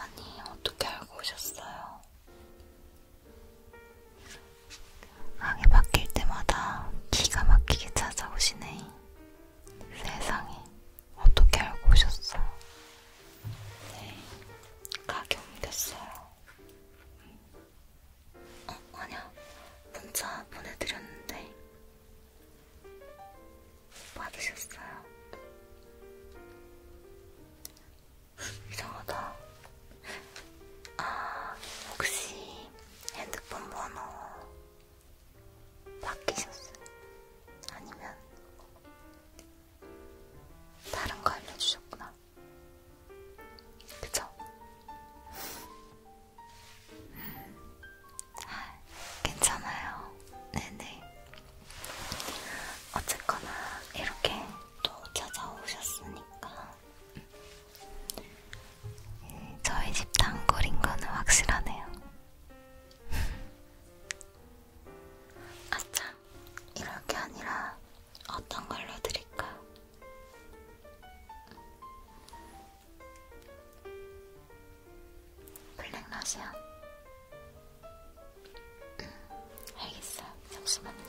아니, 어떻게 알고 오셨어요? 항이 바뀔 때마다 기가 막히게 찾아오시네. 세상에. 어떻게 알고 오셨어요? 네, 가게 옮겼어요. 어, 아니야. 문자 보내드렸는데 받으셨어요? 이상하다. 아, 혹시 핸드폰 번호 바뀌셨어요? 아니면 다른 거 알려주셨구나. 그쵸? 아, 괜찮아요. 네네. 어쨌거나 이렇게 또 찾아오셨으니까 음, 저희 집 단골인 거는 확실하네요. 아참, 이럴 게 아니라 어떤 걸로 드릴까? 블랙러시안? 음, 알겠어. 잠시만요.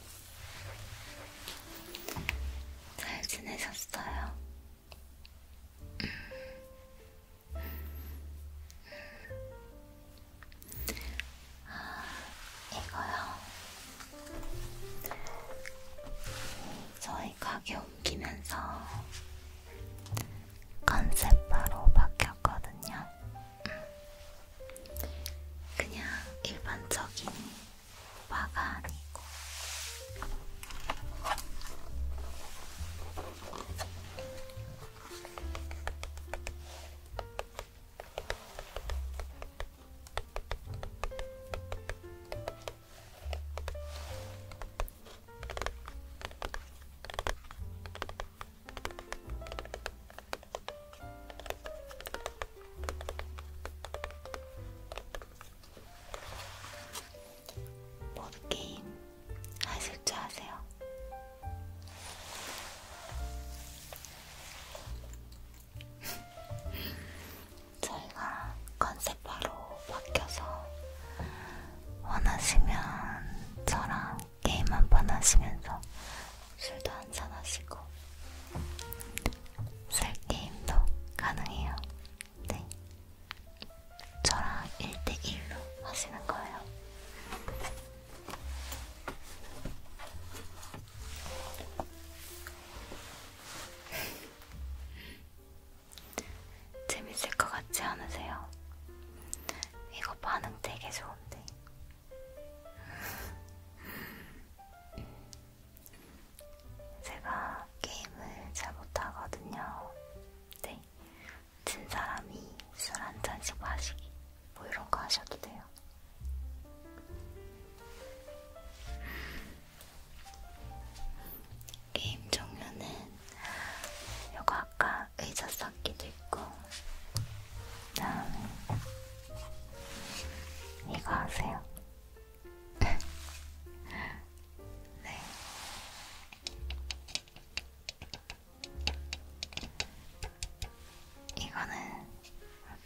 잘 지내셨어요? 아, 이거요. 저희 가게 옮기면서 컨셉 바로 바뀌었거든요. 그냥 일반적인 화가 아니고 보드게임 하실 줄 아세요? 저희가 컨셉 바로 바뀌어서 원하시면 저랑 게임 한번 하시면서 술도 한잔 하시고 술 게임도 가능해요. 네, 저랑 1대1로 하시는 거예요. 재밌을 것 같지 않으세요? 이거 반응 되게 좋은데 제가 게임을 잘 못하거든요. 네. 진 사람이 술 한 잔씩 마시기. 뭐 이런 거 하셔도 돼요. 게임 종류는 요거 아까 의자 쌓기도 있고 그다음에 이거 하세요. 네. 이거는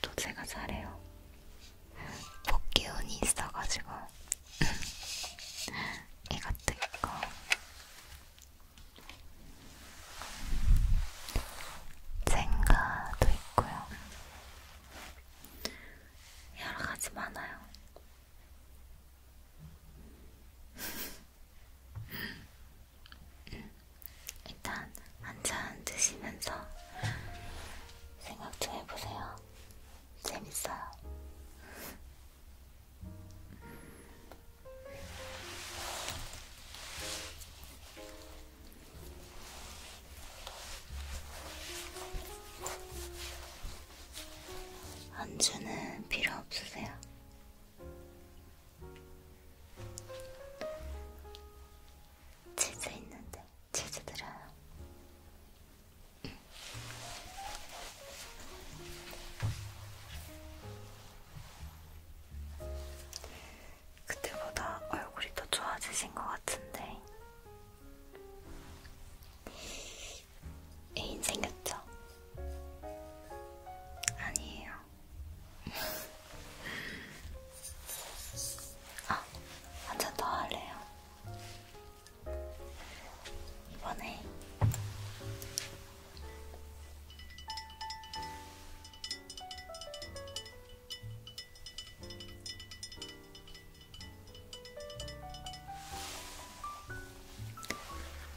또 제가 잘해요. 복기운이 있어가지고 이것도 있고 젠가도 있고요. 여러 가지 많아요. 일단 한 잔 드시면서 생각 좀 해보세요. 재밌어요. 안주는 필요 없으세요? 치즈 있는데 치즈 들어요. 그때보다 얼굴이 더 좋아지신 것 같은데 애인 생겼죠? 아니에요. 아, 한잔 더 할래요. 이번에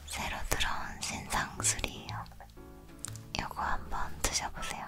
새로 들어온 신상술이에요. 요거 한번 드셔보세요.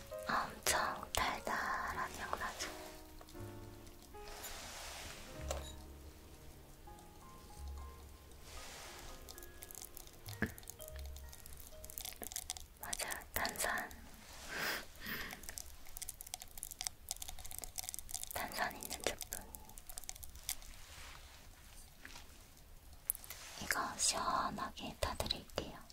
엄청 달달한 향나죠. 맞아요, 탄산. 탄산 있는 제품. 이거 시원하게 타드릴게요.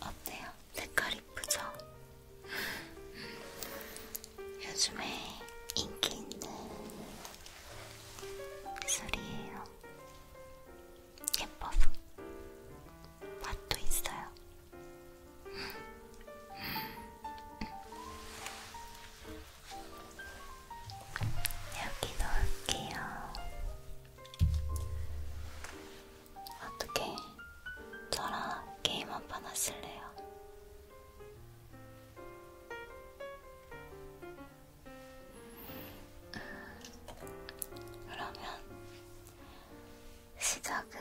어때요? 색깔 이쁘죠? 요즘에 인기 있는 술이에요. 예뻐서 맛도 있어요. 여기 넣을게요. 어떻게 저랑 게임 한 판 하실래요? 음, 그러면 시작은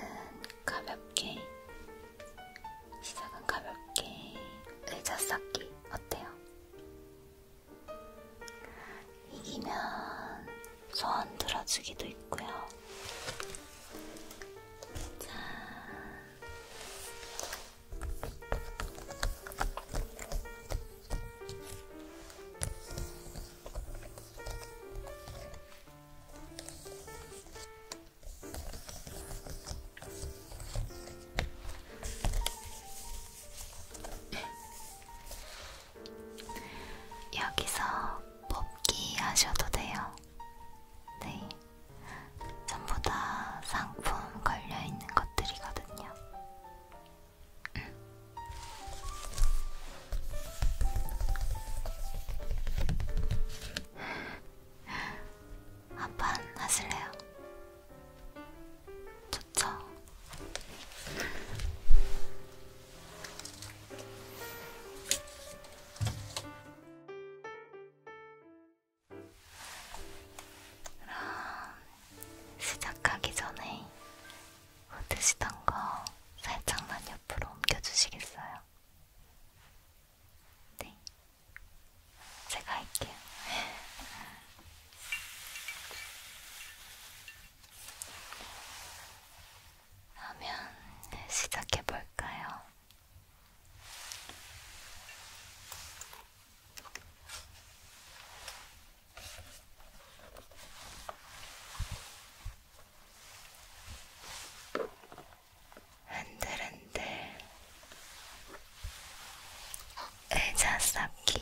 가볍게 시작은 가볍게 의자 쌓기 어때요? 이기면 소원 들어주기도 있고요. 자. 여기서 뽑기 하셔도 돼요. 네. 전부 다 상품 걸려있는 것들이거든요. 음. 한판 하실래요? 좋죠? 그럼 시작하기 전에 훑으시던 뭐 거 살짝만 옆으로 옮겨주시겠어요? 네, 제가 할게요. 그러면 네, 시작해 볼까요? 흔들흔들 의자 쌓기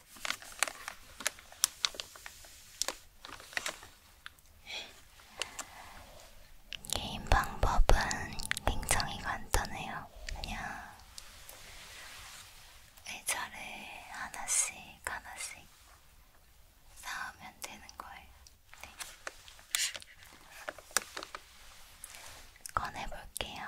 게임 방법은 굉장히 간단해요. 그냥 의자를 하나씩 하나씩 쌓으면 되는 거예요. 네. 꺼내볼게요.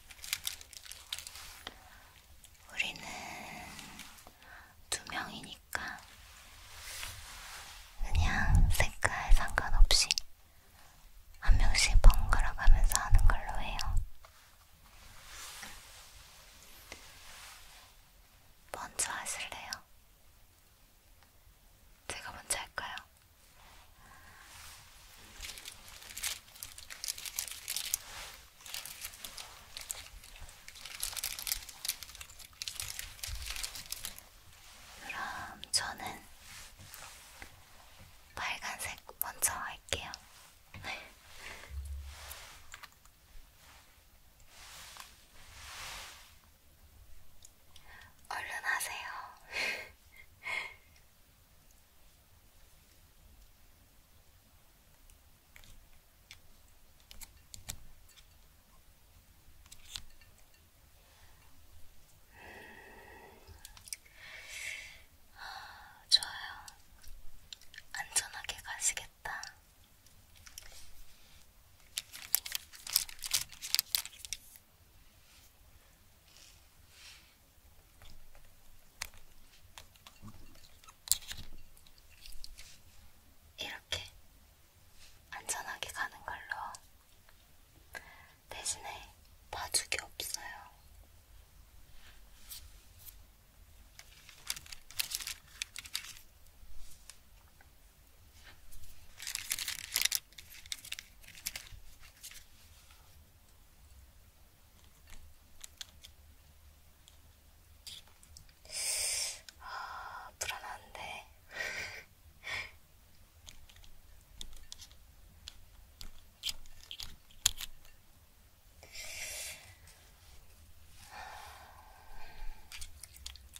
우리는 두 명이니까 그냥 색깔 상관없이 한 명씩 번갈아 가면서 하는 걸로 해요. 먼저 하실래요? 제가 먼저 할까요? 그럼 저는 빨간색 먼저 할게요. 얼른 하세요. 아, 좋아요. 안전하게 가시겠다. 이렇게 안전하게 가는 걸로 대신에 봐주기 없어요. 아, 불안한데.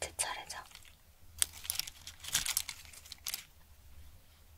제 차례죠.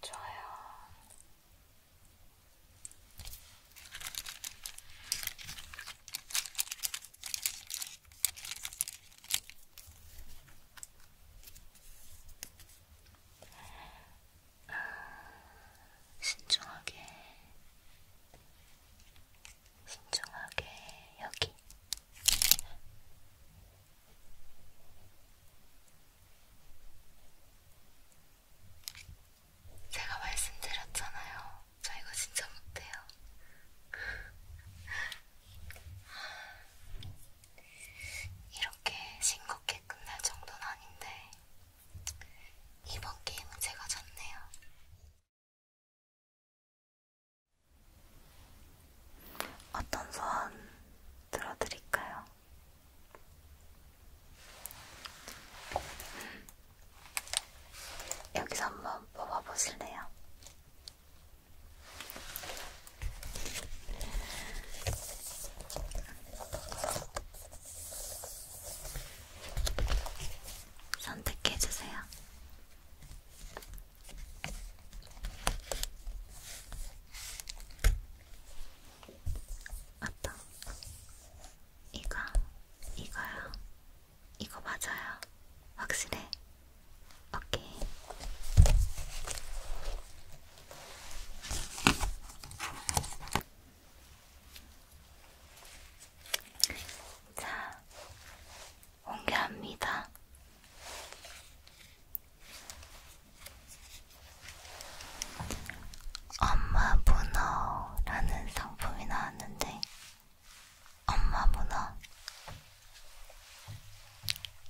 좋아요. 신중하게, 신중하게 여기. 제가 말씀드렸잖아요. 저 이거 진짜 못해요. 이렇게 싱겁게 끝날 정도는 아닌데 이번 게임은 제가 졌네요. 어떤 소원 들어드릴까요? 음. 여기서 한번 뽑아보실래요? 선택해주세요. 맞다. 이거, 이거요. 이거 맞아요. 확실해. 오케이. 자, 공개합니다. 엄마 문어라는 상품이 나왔는데, 엄마 문어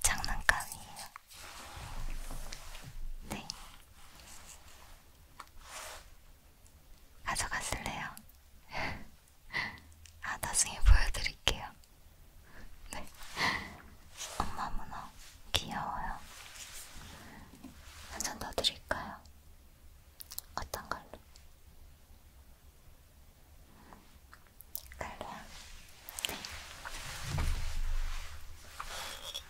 장난감이에요. 네. 가져갔을래요? 아, 나중에 보여드릴게요. 네. 엄마 문어 귀여워요. 한잔 더 드릴까요? 어떤 걸로? 갈로요? 네.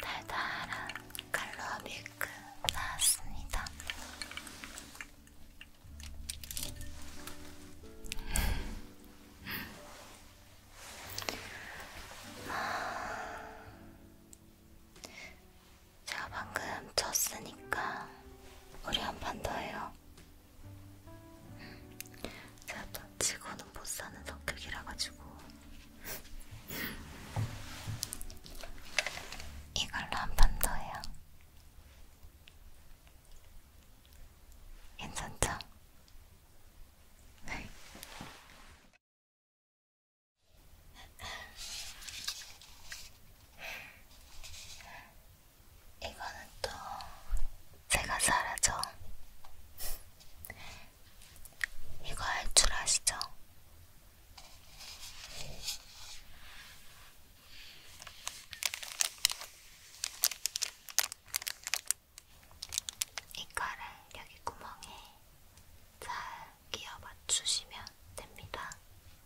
달달한 칼로아 밀크 나왔습니다. 제가 방금 쳤으니까 우리 한 판 더 해요. 음, 제가 또 치고는 못 사는 성격이라 가지고 이걸로 한 판 더 해요. 괜찮죠? 이거는 또 제가 사라져. 이거 할 줄 아시죠? 이 칼을 여기 구멍에 잘 끼워 맞추시면 됩니다.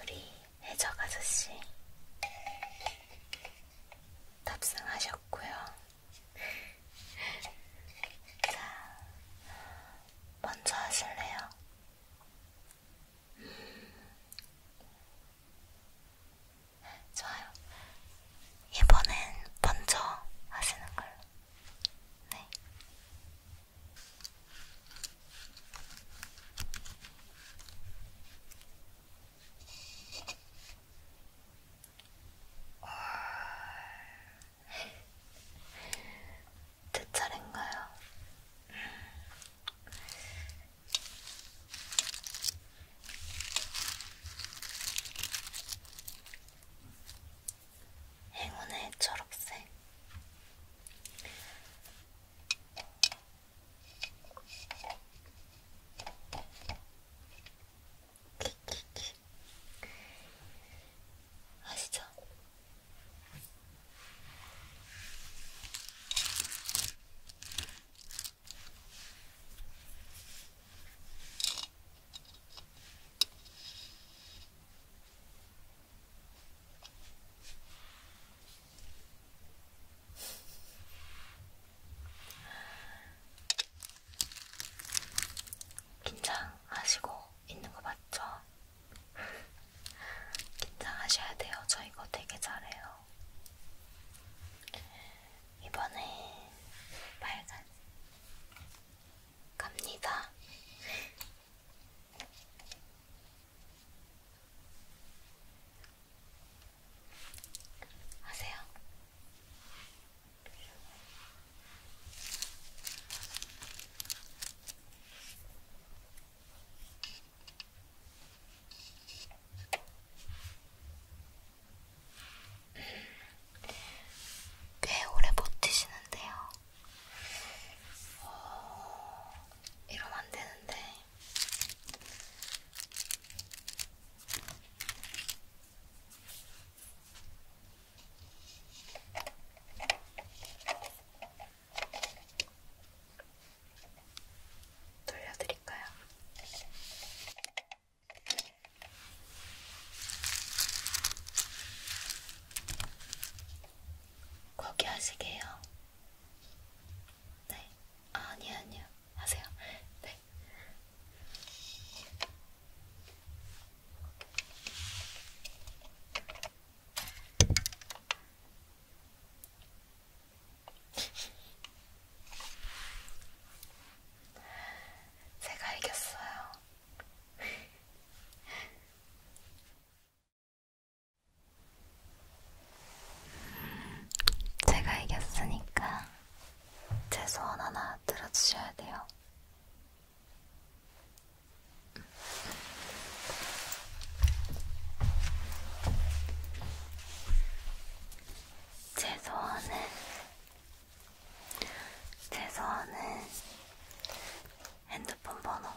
우리 해적 아저씨 탑승하셨고요. 자, 먼저 하실래요? 좋아요. 이번엔 먼저 하시는 걸로. 네. 제 차례인가요? 행운의 초록색 키키키 아시죠? 긴장하시고 있는 거 맞죠? 긴장하셔야 돼요. 저 이거 되게 잘해요. 이번에 빨간 갑니다. 하세요. 꽤 오래 버티시는데요. 어... 이러면 안 되는데. 돌려드릴까요? 거기 하시게요. 네. 아, 아니, 아니요. 하세요. 네. 제가 이겼어요. 제가 이겼으니까 제 소원 하나 들어주셔야 돼요. 제 소원은 최소한은 핸드폰 번호.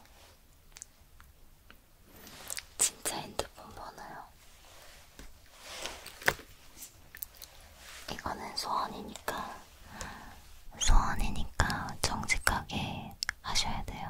진짜 핸드폰 번호요. 이거는 소원이니까, 소원이니까 정직하게 하셔야 돼요.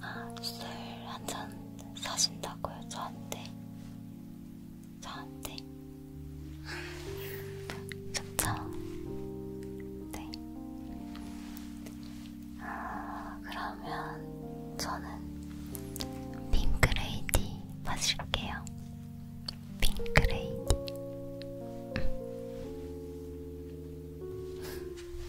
아, 술한 잔 사신다고요, 저한테? 저한테? 좋죠? 네. 아, 그러면 저는 핑크레이디 마실게요. 핑크레이디. 음.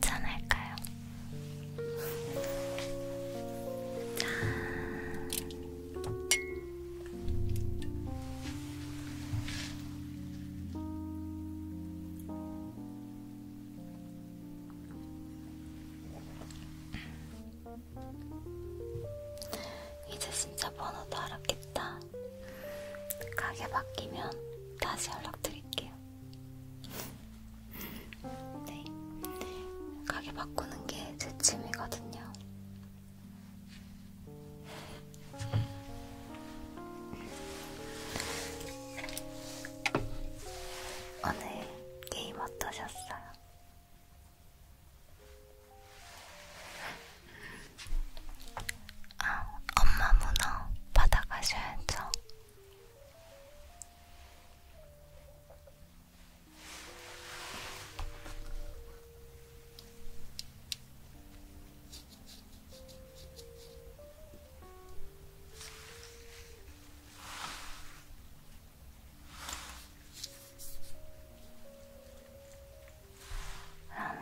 괜찮을까요? 이제 진짜 번호도 알았겠다. 가게 바뀌면 다시 연락드릴게요. 네. 가게 바꾸는 게 제 취미거든요. 오늘 게임 어떠셨어요? 아, 엄마 문어 받아가셔야죠. 그러면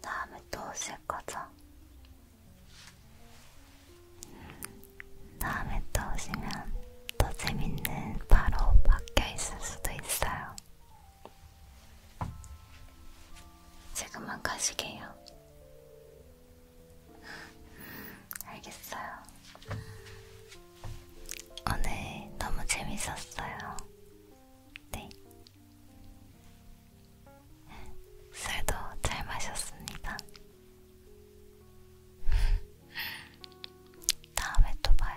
다음에 또 오실 거죠? 음, 다음에 또 오시면 더 재밌는 바로 바뀌어 있을 수도 있어요. 지금만 가시게요. 음, 알겠어요. 오늘 너무 재밌었어요. 네. 술도 잘 마셨습니다. 다음에 또 봐요.